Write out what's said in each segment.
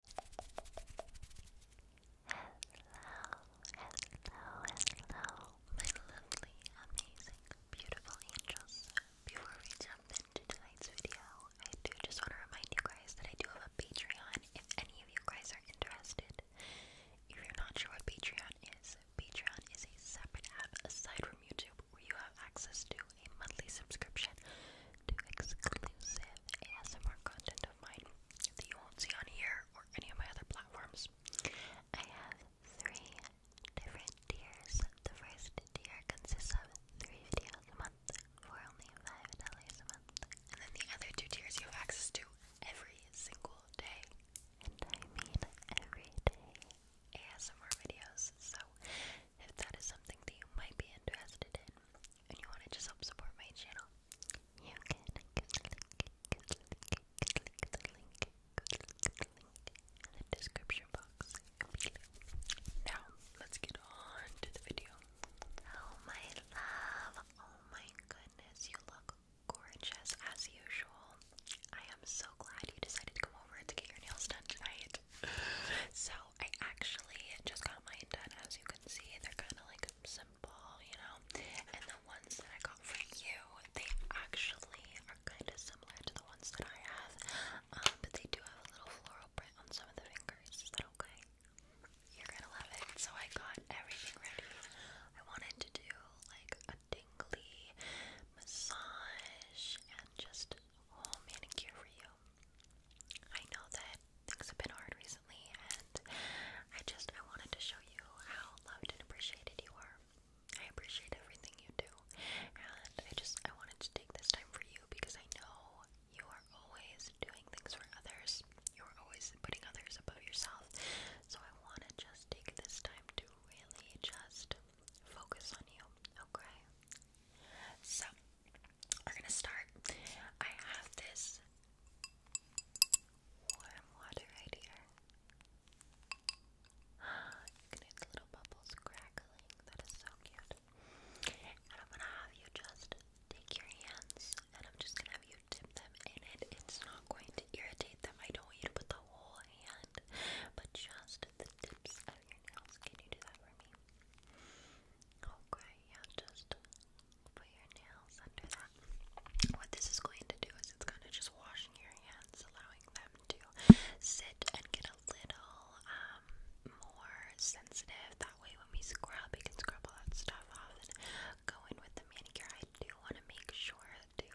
hello, hello, my lovely, amazing, beautiful angels. Before we jump into tonight's video, I do just want to remind you guys that I do have a Patreon if any of you guys are interested. If you're not sure what Patreon is, Patreon is a separate app aside from YouTube where you have access to a monthly subscription to exclusive ASMR content of mine that you won't see on here or any of my other platforms. I have three different tiers. The first tier consists of three videos a month for only $5 a month. And then the other two tiers you have access to every single day. And I mean every day ASMR videos. So if that is something that you might be interested in, and you want to just help support my channel, you can in the description box Now, let's get on to the video. Oh my love, oh my goodness, you look gorgeous as usual. I am so glad you decided to come over to get your nails done tonight. so, I actually just got mine done. As you can see, they're kind of like simple, you know. And the ones that I got for you, they actually are kind of similar to the ones that I have, um, but they do have a little floral print on some of the fingers. Is that okay? You're gonna love it. So I got everything ready. I wanted to do like a tingly massage and just a whole manicure for you. I know that things have been hard recently and I just I wanted to show you how loved and appreciated you are. I appreciate everything you do, and I just I wanted to take this time for you because I know you are always doing things for others. You are always putting others above yourself. So I want to just take this time to really just focus on you, okay? So we're gonna start. I have this warm water right here. You can hear the little bubbles crackling. That is so cute. And I'm gonna have you just take your hands and I'm just gonna have you dip them in it. It's not going to irritate them. I don't want you to put the whole hand, but just the tips of your nails. Can you do that for me? Okay, yeah, just put your nails under that. What this is going to do is it's going to just washing your hands, allowing them to sit and get a little um, more sensitive. That way, when we scrub, we can scrub all that stuff off and go in with the manicure. I do want to make sure that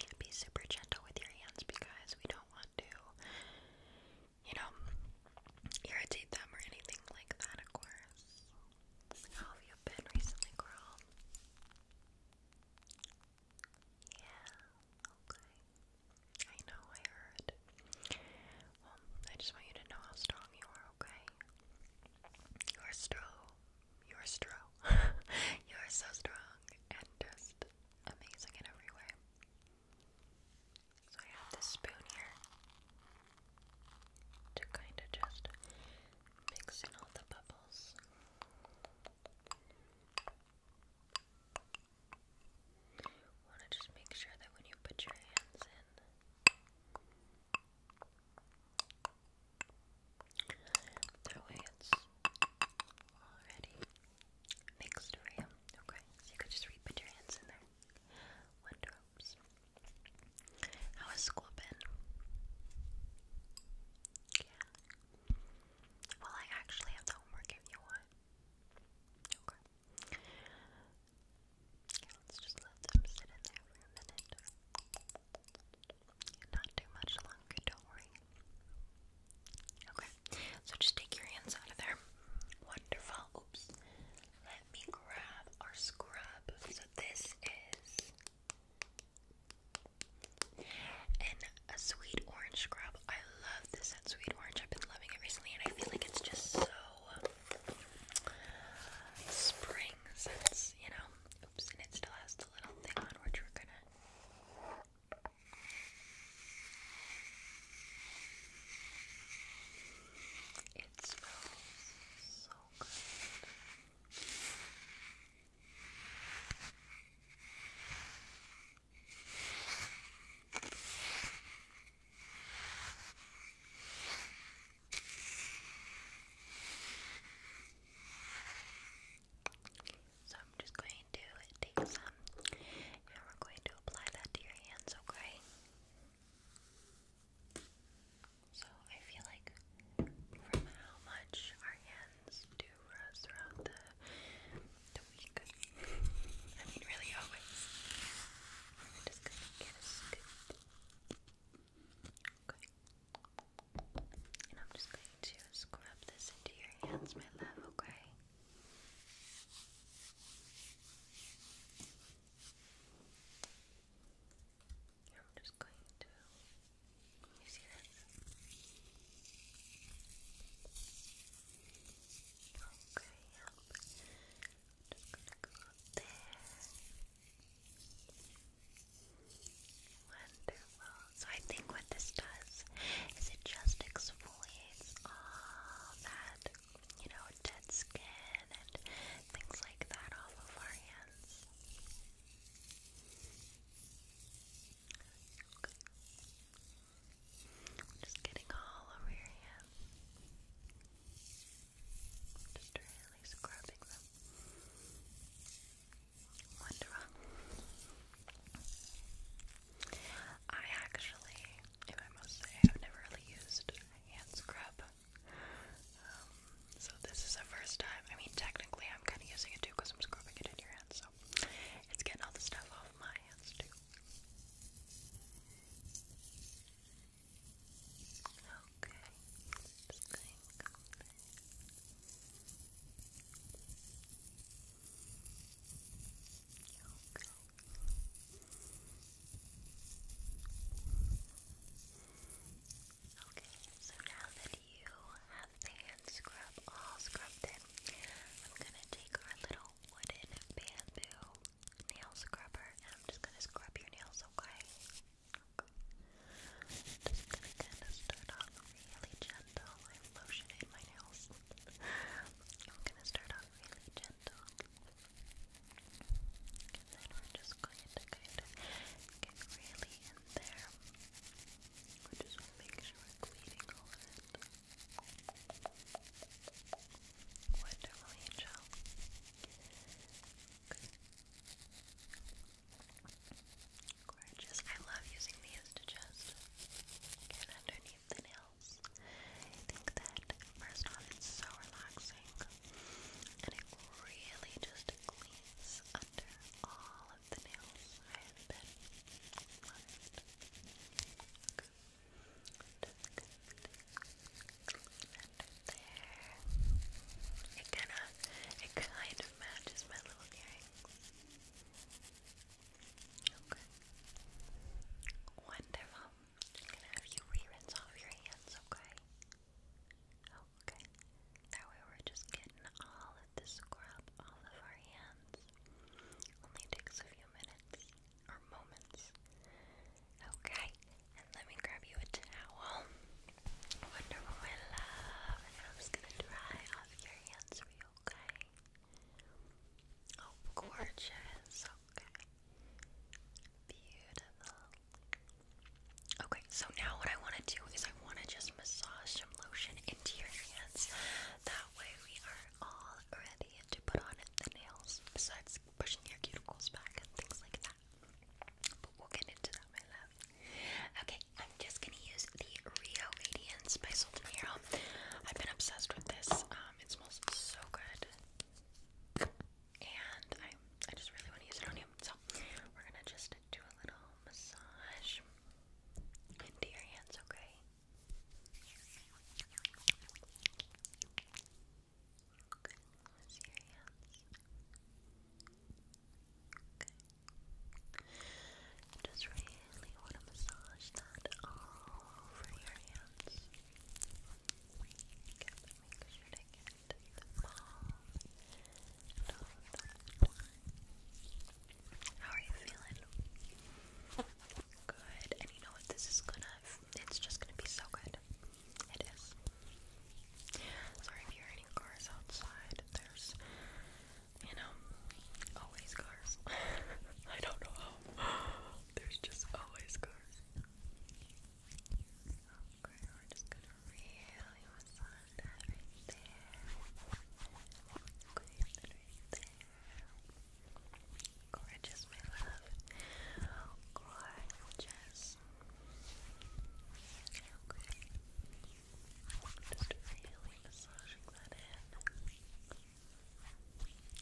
you be super gentle with your hands because we don't want to, you know, irritate them or anything like that, of course. How have you been recently, girl? Yeah, okay. I know, I heard. Well, I just want you to know how strong you are, okay? You are strong. You are strong. you are so strong and just amazing in every way. So I have this spoon here to kind of just mix all the bubbles. Want to just make sure that when you put your hands in, that way it's already mixed for you. Okay, so you could just re put your hands in there. Wardrobes. How has school been? Well, I actually have homework if you want. Okay. Okay, let's just let them sit in there for a minute. Not too much longer, don't worry. Okay, so just take your hands out of there. Wonderful. Oops. Let me grab our scrub. So this is and a sweet orange scrub. I love this at Sweet Orange. I've been loving it recently and I feel like it's just so spring you know. Oops, and it still has little thing on which we're gonna it smells so good. So I'm just going to take some and we're going to apply that to your hands, Okay. So I feel like from how much our hands do us throughout the, the week, I mean really always, we're just gonna get Okay. And I'm just going to scrub this into your hands, my love, okay? I'm just going to. Can you see this? Okay, I'm just gonna go up there. So I think what this does is it just exfoliates all that, you know, dead skin and things like that off of our hands. Okay. Just getting all over your hands. Just really scrubbing them. Wonderful. I actually, if I must say, have never really used hand scrub um, so this is the first time. I mean, technically, I'm kind of using it too because I'm scrubbing it in your hands, so it's getting all the stuff off my hands too. Okay. Okay, so now that you have the hand scrub all scrubbed in, I'm gonna take our little wooden bamboo nail scrubber and I'm just gonna scrub your nails, okay? Okay. Just gonna kinda start off really gentle. I'm lotioning my nails. I'm gonna start off really gentle. And then we're just going to kind of get really in there. We just want to make sure we're cleaning all of it. Wonderful, Angel. Gorgeous. I love using these to just get underneath the nails. I think that, first off, it's so relaxing and it really just cleans under all of the nails I have been left. there. It kind of, it kind of matches my little earrings. Wonderful. have you re off your hands, okay? Oh, okay. That way we're just getting all of the scrub all of our hands. Only takes a few minutes or moments. Okay. And let me grab you a towel. Wonderful, love. I'm just gonna dry off your hands for you, okay? Oh, gorgeous. Okay. Beautiful. Okay, so now what I want to do is I want to just massage some lotion into your hands. That way we are all ready to put on the nails, besides pushing your cuticles back and things like that. But we'll get into that, my love. Okay, I'm just gonna use the Rio Radiance by Sol de Hero. I've been obsessed with this. Um, it smells so good and I I just really want to use it on you. So we're gonna just do a little massage into your hands, okay? Okay, Just really want to massage that all over your hands. How are you feeling? Good. And you know what? This is gonna, it's just gonna be so good. It is. Sorry if you hear any cars outside. There's, you know, always cars. I don't know how. There's just always cars. Okay, we're just gonna really massage that right there. Okay, right there. Gorgeous, my love. Gorgeous. Just really massaging that in.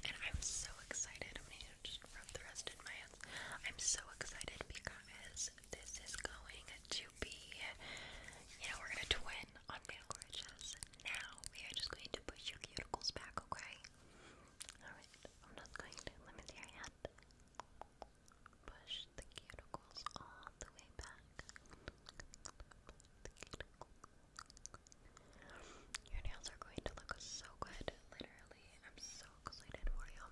And I'm so excited. I'm gonna just rub the rest in my hands. I'm so excited because this is going to be, you know, we're going to twin on nail glitches. Now we are just going to push your cuticles back, okay? Alright, I'm not going to, let me see your hand. Push the cuticles all the way back. Your nails are going to look so good, literally. I'm so excited for you.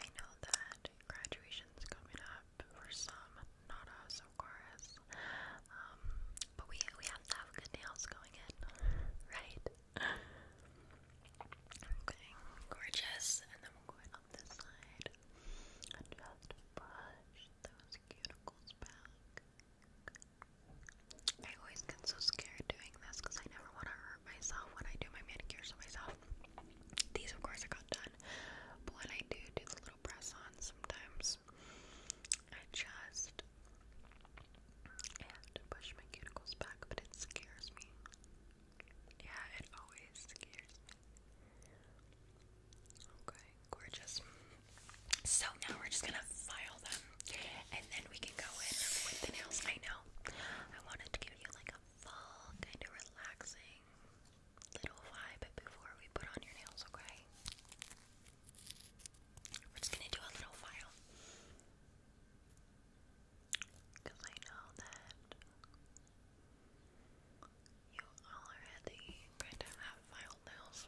I know that graduation's coming up for some, not us, of course. Um, but we we have to good nails going in, right? Okay, gorgeous. And then we're going on this side and just brush those cuticles back. I always get so scared doing this because I never want to myself when I do my manicures on myself. These, of course, I got done, but when I do do the little press on sometimes, I just and push my cuticles back, but it scares me. Yeah, it always scares me. Okay, gorgeous. So now we're just gonna file them and then we can go in with the nails. I know I wanted to give you like a fall, kind of relaxing little vibe before we put on your nails, okay? We're just gonna do a little file. Because I know that you already kind of have filed nails.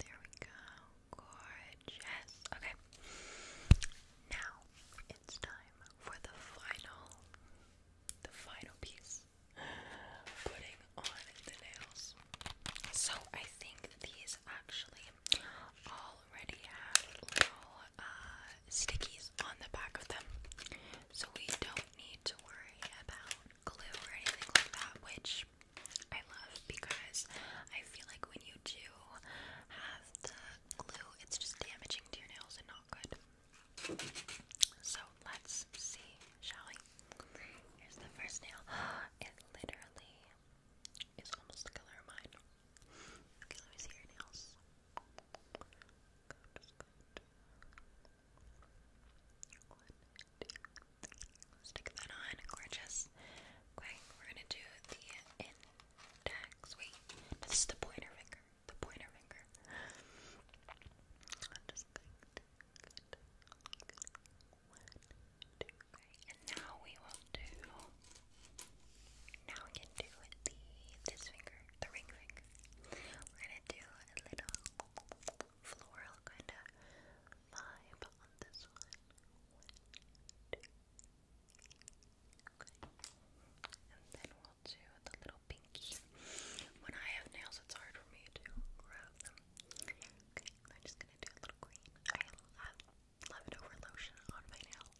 There we go gorgeous. Okay. Now it's time for the final the final piece. Putting on the nails. So I think these actually already have little uh, stickies on the back of them. So we don't need to worry about glue or anything like that, which I love because I feel like when you do have the glue, it's just damaging to your nails and not good. So let's see, shall Here's the first nail. It literally is almost the color of mine. Okay, let me see your nails. Stick that on, gorgeous. Okay, we're gonna do the this is the pointer finger. The pointer finger. i And now we will do. Now we can do the this finger, the ring finger. We're gonna do a little floral kind of vibe on this one. And then we'll do the little pinky. When I have nails, it's hard for me to grab them. Okay, I'm just gonna do a little green. I love leftover lotion on my nails.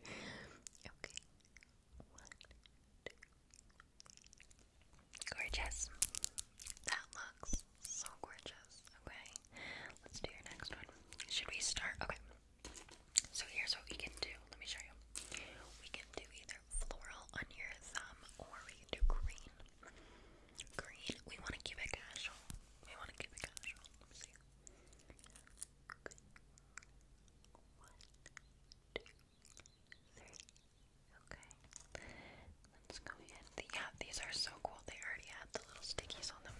okay. One, two. Gorgeous. That looks so gorgeous. Okay. Let's do your next one. Should we start? Okay. So here's what we can do. Let me show you. We can do either floral on your thumb or we can do green. Green. We want to keep it casual. We want to keep it casual. Let me see. One, two, three. Okay. Let's go ahead. Yeah, these are so cool. They already have the little stickies on them.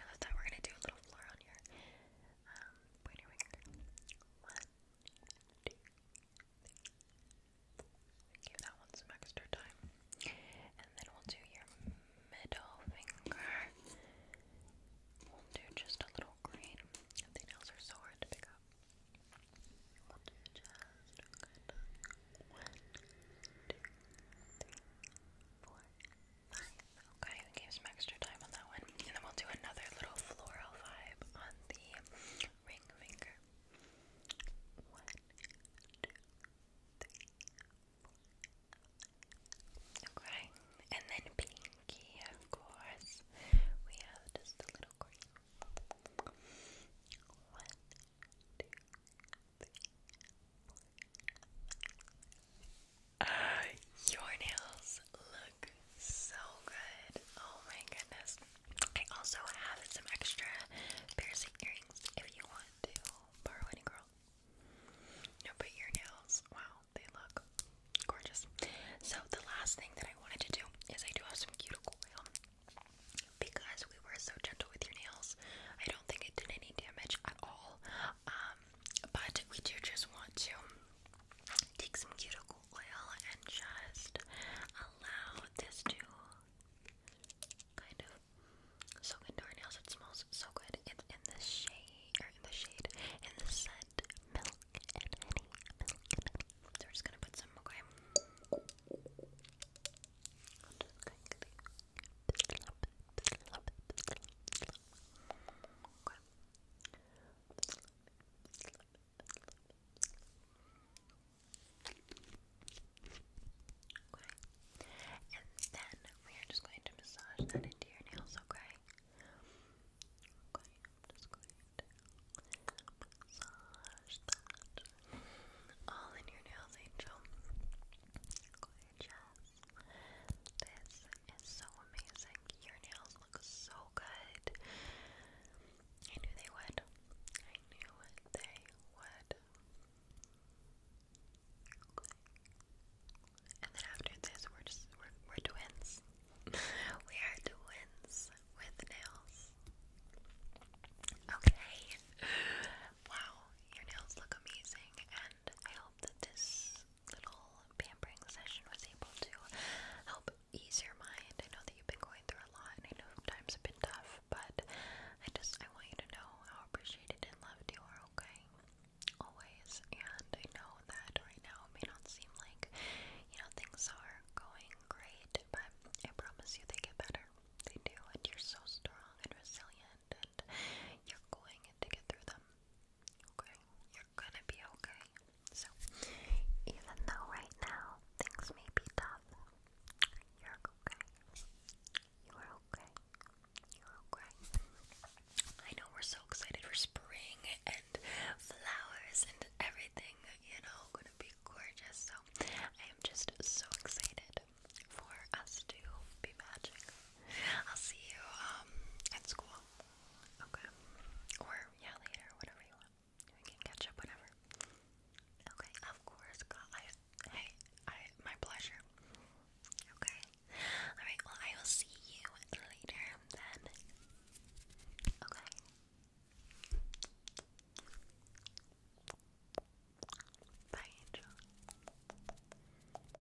I love that. We're going to do a little little floor on your um, pointer finger. One, two, three. Give that one some extra time. And then we'll do your middle finger. We'll do just a little green. The nails are so hard to pick up. we Okay, we some extra time on that one. And then we'll do another little floral vibe on the ring finger. One, two, three, four. Okay, and then pinky, of course. We have just a little green. One, two, three, uh, your nails look so good. Oh my goodness. I also have some extra piercing earrings if you want to borrow any girl. but your nails, wow, they look gorgeous. So the last thing that I wanted to do is I do have some cuticle oil. Because we were so gentle with your nails, I don't think it did any damage at all. Um, but we do just want to take some cuticle oil and just allow this to kind of soak into our nails. It smells so good. It's in the shade, or in the shade, in the scent, So we're just gonna put some, okay? I'm just going to put some okay and then we are just going to massage that into your nails, okay? just going to massage that all in your nails, Angel. This is so amazing. Your nails look so good. I knew they would. I knew they would. And then after this, we're just we're twins. we are twins with nails. Okay. Wow, your nails look amazing, and I hope that this little pampering session was able to help ease your mind. I know that you've been going through a lot, and I know times have been tough, but I just I want you to know how appreciated and loved you are. Okay, always. And I know that right now it may not seem like you know things are going great, but I promise you they get better. They do, and you're so strong and resilient, and you're going to get through them. Okay, you're gonna be okay. So, even though right now things may be tough, you're okay. You are okay. You're okay. I know we're so excited for spring and flowers and everything, you know, gonna be gorgeous. So, I am just so excited for us to be magic. I'll see you um, at school. Okay. Or yeah, later, whatever you want. We can catch up whatever. Okay, of course, hey, I my pleasure. Okay. Alright, well I will see you later then. Okay. Bye,